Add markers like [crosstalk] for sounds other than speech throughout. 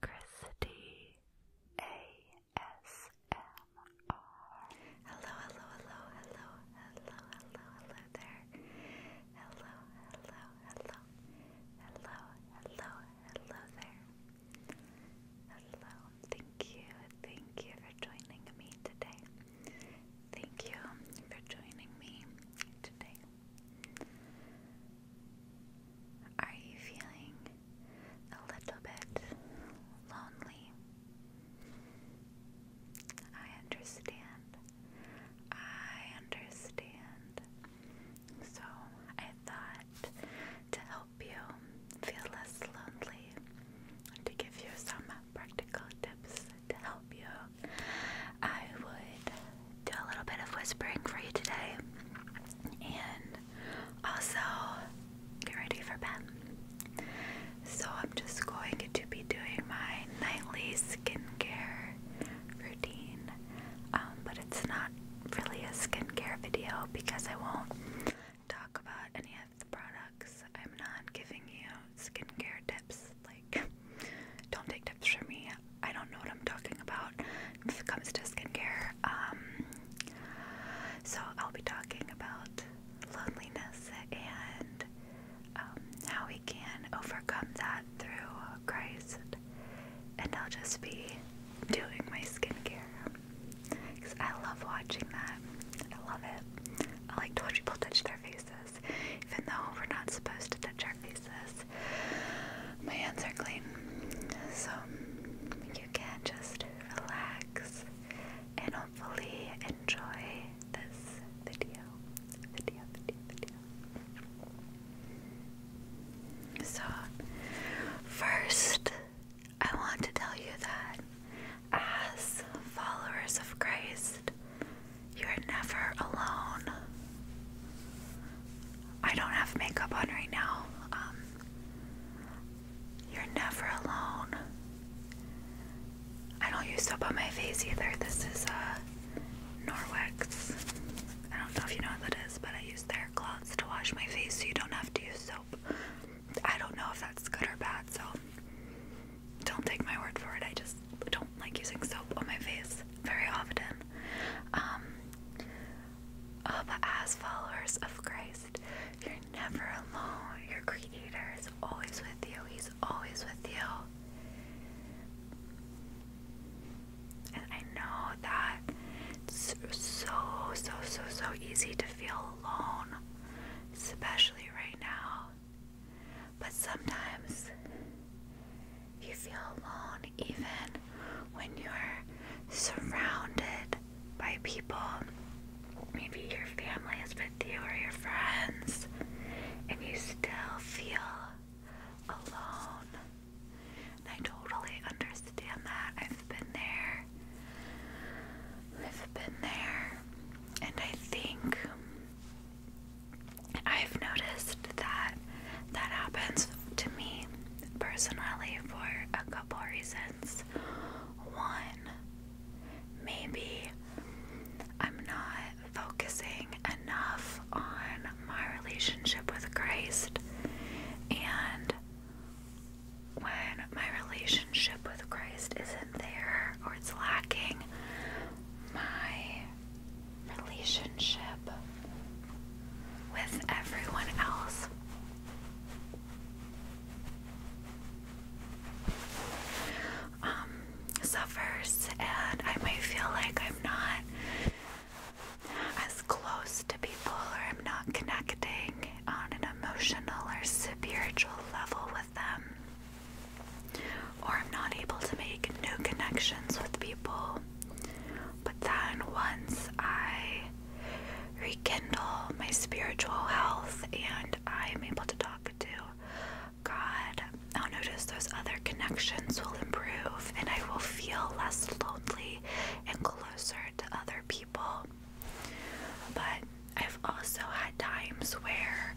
Christy ASMR. Hello, hello, hello, hello, hello, hello, hello there. Hello, hello, hello, hello, hello, hello there. Hello, thank you, thank you for joining me today. Thank you for joining me today. Are you feeling a little bit lonely? I understand. I understand. So I thought to help you feel less lonely, to give you some practical tips to help you, I would do a little bit of whispering for you today and also get ready for bed. So, I'm just going to be doing my nightly skincare routine, um, but it's not really a skincare video because I won't talk about any of the products. I'm not giving you skincare tips. Like, don't take tips from me. I don't know what I'm talking about when it comes to skincare. Um, so I'll be talking about loneliness and um, how we can overcome that through Christ. And I'll just be doing my skincare because I love watching that. I love it. I like to watch people touch their faces, even though we're not supposed to touch our faces. My hands are clean, so you can just relax and hopefully enjoy this video. Video, video, video. So, first, I want to tell you that as followers of Christ, you're never alone. I don't have makeup on right now. Um, you're never alone. I don't use soap on my face either. This is uh, Norwex. I don't know if you know what that is, but I use their cloths to wash my face so you don't have to use soap. I don't know if that's good or bad, so don't take my word for it. I just don't like using soap on my face very often. Um, as followers of Christ, you're never alone. Your Creator is always with you. He's always with you. And I know that it's so, so, so, so easy to feel alone, especially right now. But sometimes you feel alone even when you're surrounded by people. Maybe your family is with you or your friends, and you still feel alone. I totally understand that. I've been there. I've been there. And I think I've noticed that that happens to me personally for a couple reasons. One, maybe I'm not focusing enough on my relationship with Christ, and when my relationship with Christ isn't there or it's lacking, my relationship with everyone else. Um, suffers, and I might feel like I'm not as close to people, or I'm not connecting on an emotional or spiritual level with them or I'm not able to make new connections with people. But then once I rekindle my spiritual health and I'm able to talk to God, I'll notice those other connections will improve and I will feel less lonely and closer to other people. But I've also had times where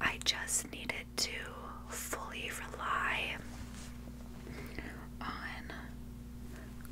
I just needed to fully rely on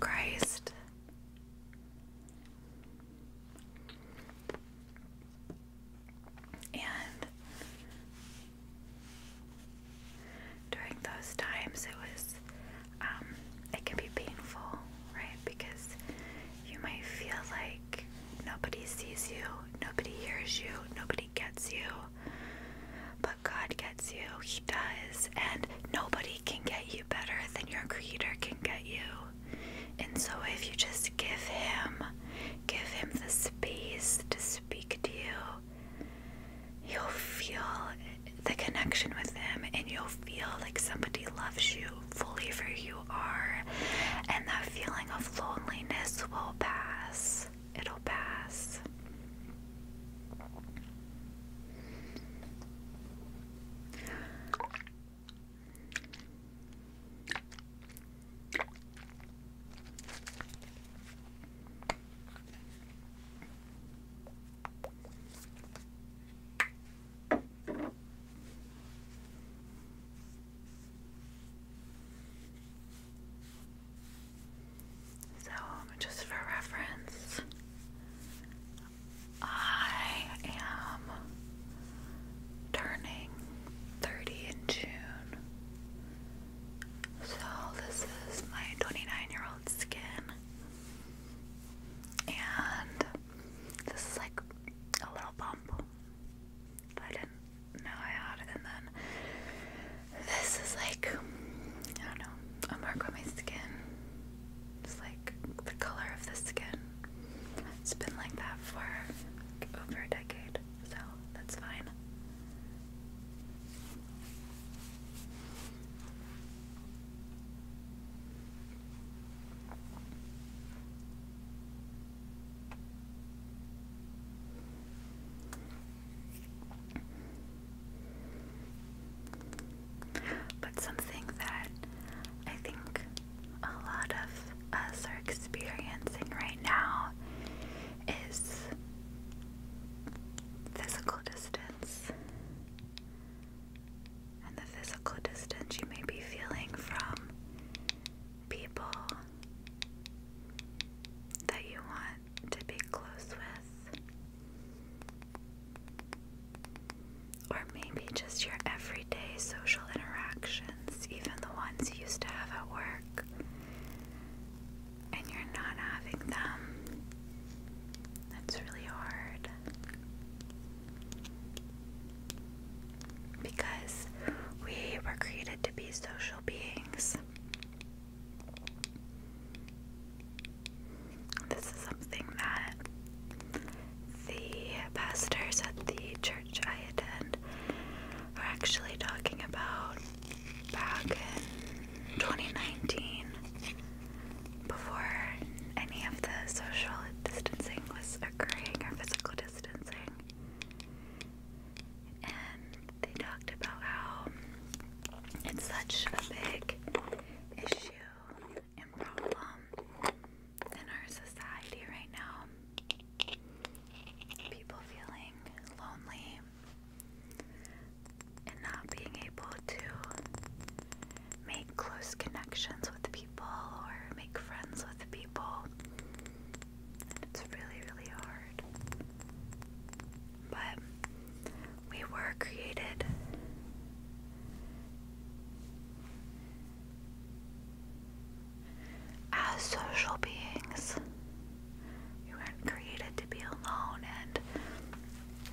Christ. And during those times, it was, um, it can be painful, right? Because you might feel like nobody sees you, nobody hears you, nobody gets you, but God gets you, He does, and nobody can get you better than your Creator can get you. And so, if you just give Him, give Him the space to speak to you, you'll feel the connection with Him, and you'll feel like somebody loves you fully for you are, and that feeling of loneliness will pass it'll pass. So, um, just for reference, I am turning 30 in June. So, this is my 29 year old skin. And this is like a little bump. I didn't know I had it. And then this is like, I don't know, a mark on my skin. It's like the color of the skin. It's been like that for over a decade, so that's fine. But something that I think a lot of us are experiencing right now is physical distance. And the physical distance you may be feeling from people that you want to be close with, or maybe just your everyday social interactions, even the ones you used to have at work, and you're not having them. That's really hard because we were created to be social beings. This is something that the pastors at the church I attend are actually talking about back in 2019 before any of the social distancing was occurring or physical distancing and they talked about how it's such a big issue and problem in our society right now. People feeling lonely and not being able to make close connections with people or make friends with people it's really, really hard. But we were created as social beings. You weren't created to be alone and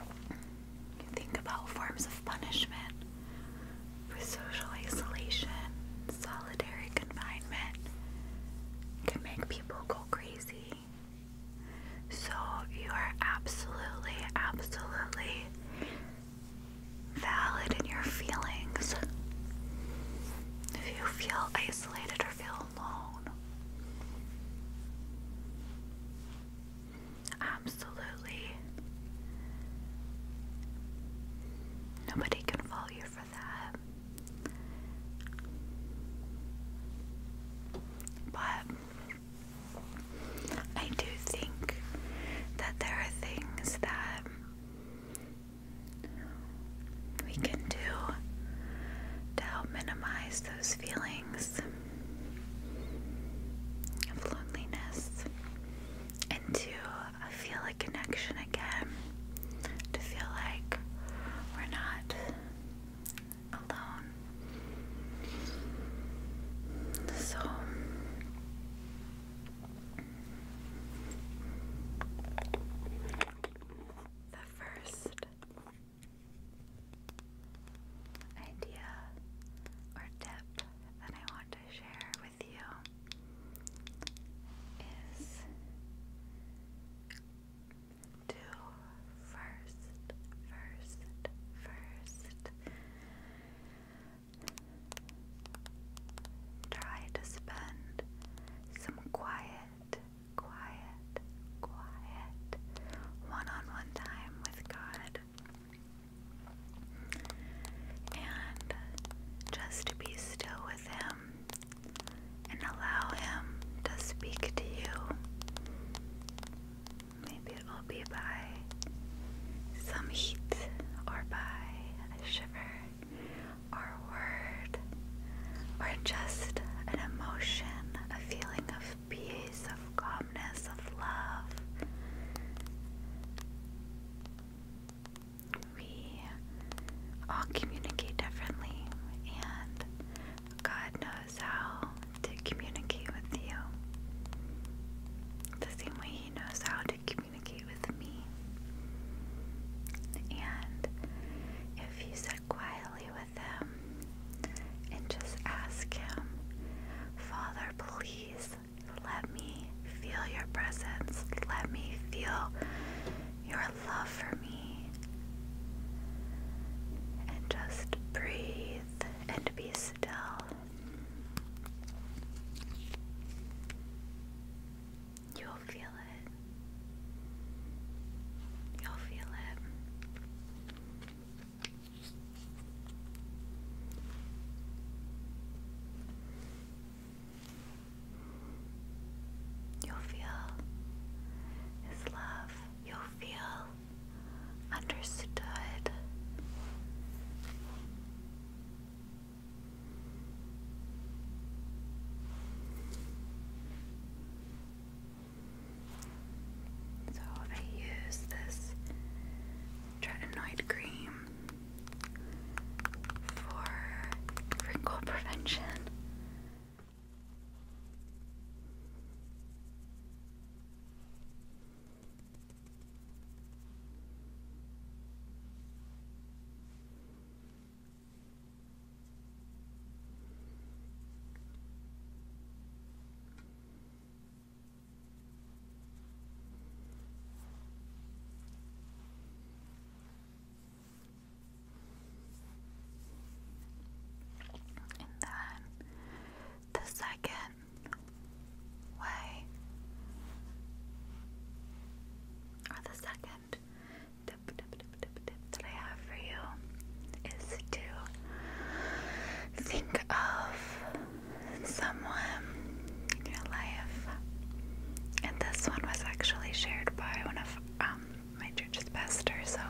you think about forms of punishment for social isolation, solitary confinement can make people go crazy. So you are absolutely, absolutely valid in your feelings. If you feel isolated or feel alone, absolutely Nobody can fault you for that. But I do think that there are things that we can do to help minimize those feelings of loneliness and to I feel like connection again to feel like we're not alone. So the first idea or tip that I want to share with you is to first, first, first try to spend some quiet, quiet, quiet one on one time with God. And just to be still with Him and allow Him to speak to you. Maybe it will be by some heat or by a shiver or a word or just an emotion, a feeling of peace, of calmness, of love we all communicate differently, and God knows how to communicate with you the same way He knows how to communicate with me. And if you sit quietly with Him and just ask Him, Father, please let me feel your presence. Let me feel your love for me. And just breathe and be still. You'll feel it. You'll feel it. You'll feel His love. You'll feel understood. So I use this tretinoid cream for wrinkle prevention. And then the second way, or the second tip, tip, tip, tip, tip that I have for you is to think of someone in your life. And this one was actually shared by one of um, my church's pastors, so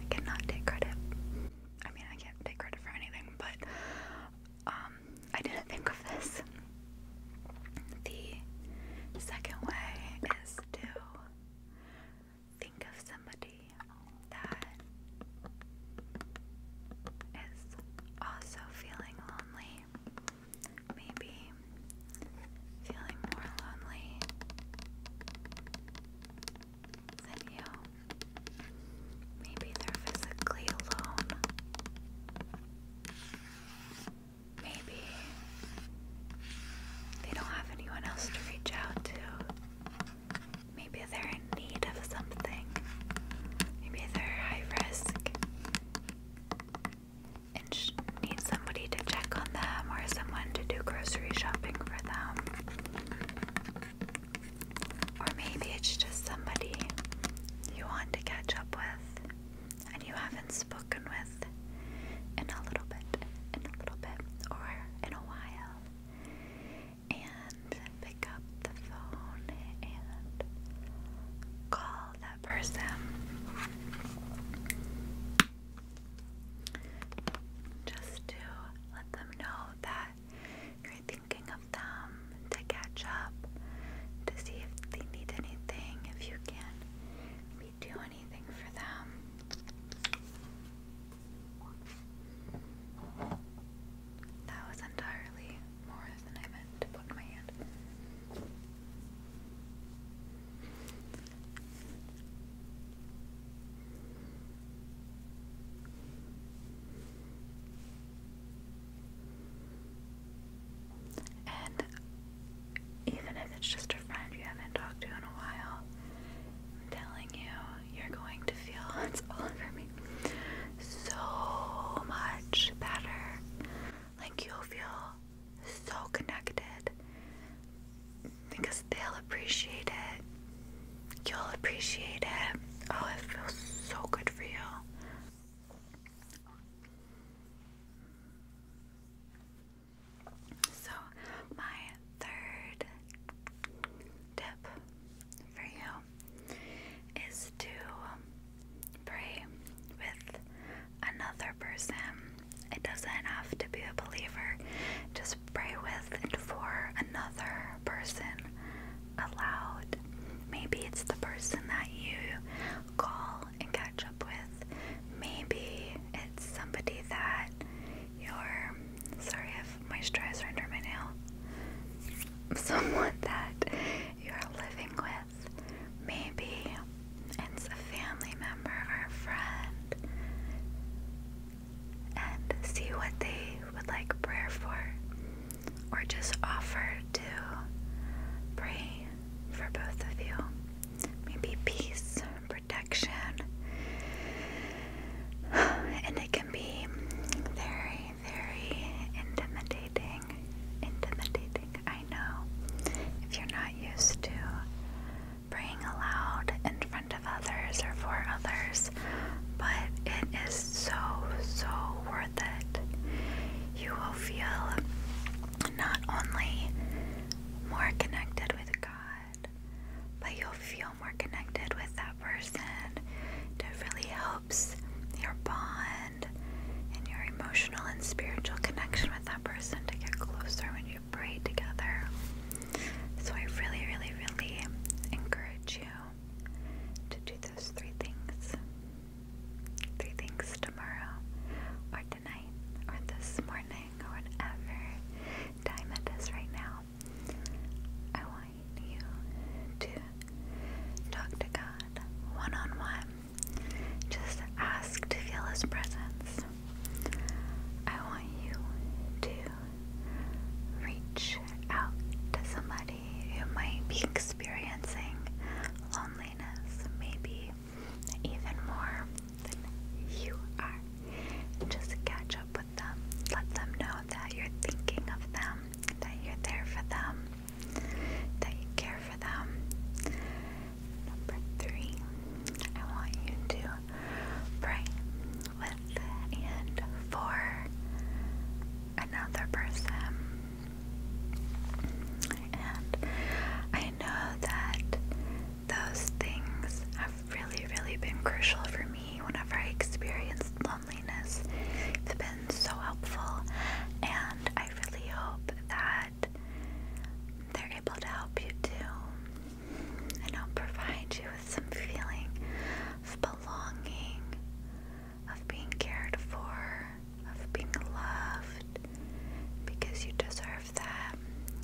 I cannot take credit. I mean, I can't take credit for anything, but um, I didn't [laughs] think of this. The second way is to think of somebody that is also feeling lonely, maybe feeling more lonely than you. Maybe they're physically alone. Maybe they don't have anyone else to reach out to. Maybe they're in need of something. Maybe they're high risk and need somebody to check on them or someone to do grocery shopping for them. Or maybe it's just somebody you want to catch up with and you haven't spoken with in a little bit, in a little bit, or in a while and pick up the phone and call that person. Just to let them know that you're thinking of them, to catch up, to see if they need anything, if you can maybe do anything for them. That was entirely more than I meant to put my hand. And even if it's just a friend you haven't talked to in a while, I'm telling you, you're going to feel [laughs] it's all over me so much better. Like you'll feel so connected because they'll appreciate it. You'll appreciate it. Oh, it feels so good for you. So, my third tip for you is to pray with another person. It doesn't have to be a believer, just pray with and for another person aloud. Maybe it's the person that you call and catch up with. Maybe it's somebody that you're Sorry, I have moisturizer under my nail. [laughs] Someone that you're living with, maybe it's a family member or a friend, and see what they would like prayer for, or just offer to pray for both of you. Maybe peace, protection, [sighs] and it can be very, very intimidating. Intimidating, I know. If you're not used to praying aloud in front of others or for others, but it is so, so worth it. You will feel not only more connected with God, but you'll feel more connected with that person. It really helps your bond and your emotional and spiritual connection with that person to get closer when you pray together. So, I really, really, really encourage you to do those three things three things tomorrow, or tonight, or this morning, or whatever time it is right now. I want you to talk to God one on one. Just ask to feel His presence. I want you to reach out to somebody who might be experiencing loneliness, maybe even more than you are. Just catch up with them. Let them know that you're thinking of them, that you're there for them, that you care for them. Number three, I want you to pray with and for another person. And I know that those things have really, really been crucial for me whenever I experienced loneliness. they've been so helpful, and I really hope that they're able to help you too. And I'll provide you with some feeling of belonging, of being cared for, of being loved, because you deserve that,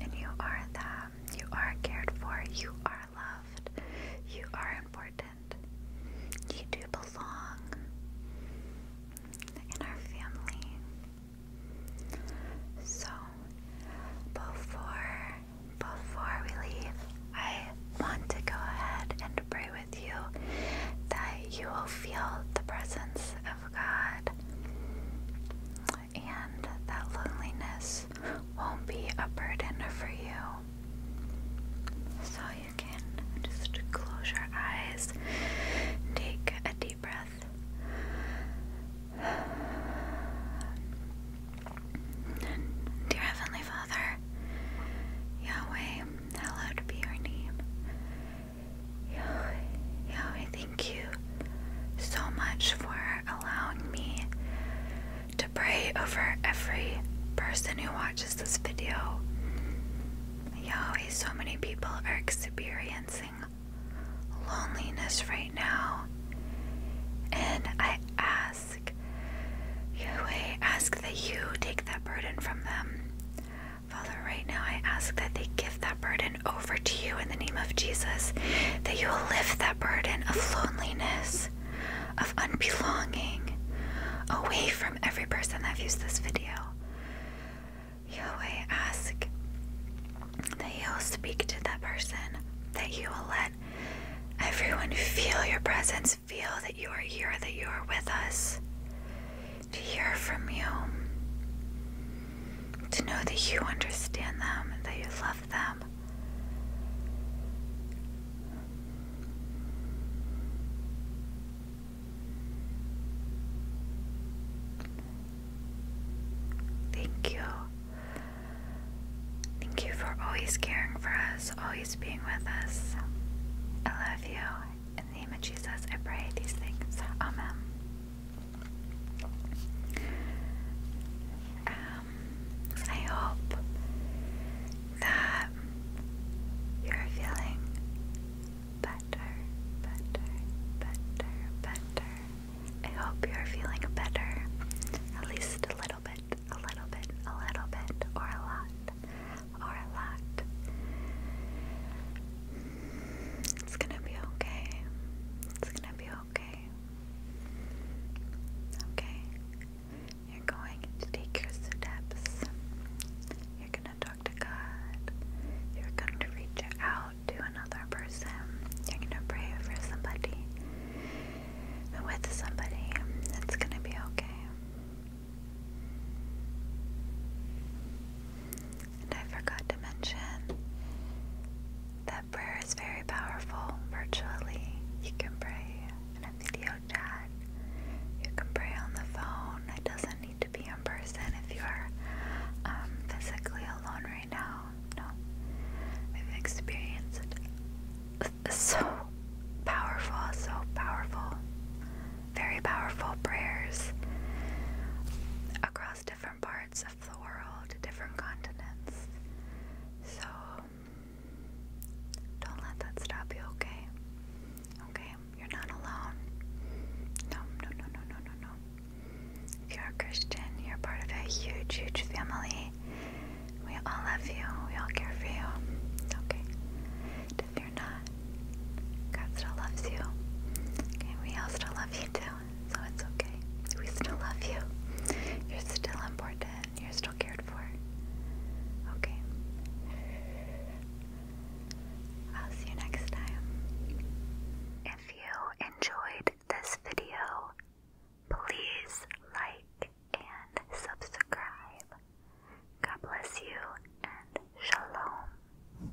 and you are that. You are cared for, you are loved. You are important. You do belong in our family. So, before before we leave, I want to go ahead and pray with you that you will feel the presence of God and that loneliness won't be a burden for you. So you can just close your eyes, take a deep breath. Dear Heavenly Father, Yahweh, hallowed be your name. Yahweh, Thank you so much for allowing me to pray over every person who watches this video. Yahweh, so many people are experiencing loneliness right now. And I ask, Yahweh, ask that you take that burden from them. Father, right now I ask that they give that burden over to you in the name of Jesus, that you will lift that burden of loneliness, of unbelonging, away from every person that views this video. Yahweh, ask that you will speak to that person, that you will let everyone feel your presence, feel that you are here, that you are with us, to hear from you, to know that you understand them, and that you love them. Thank you. Thank you for always caring for us, always being with us. I love you. In the name of Jesus, I pray these things. Amen. Um, I hope that you're feeling better, better, better, better. I hope you're feeling better, at least a little bit, a little bit, a little bit, or a lot, or a lot. It's gonna be okay. It's gonna be okay? Okay. You're going to take your steps. You're going to talk to God. You're going to reach out to another person. You're going to pray for somebody. With somebody. It's going to be okay. And I forgot to mention that prayer is very powerful. Virtually, you can pray in a video chat, you can pray on the phone. It doesn't need to be in person if you are um, physically alone right now. No, I've experienced it. [laughs] so powerful, so powerful, very powerful prayers across different parts the world, different continents. So don't let that stop you, okay? Okay, you're not alone. No, no, no, no, no, no, no. If you're a Christian, you're part of a huge, huge family. We all love you, we all care for you. Okay. if you're not, God still loves you. Okay, we all still love you too so it's okay. We still love you. You're still important. You're still cared for. Okay. I'll see you next time. If you enjoyed this video, please like and subscribe. God bless you and shalom.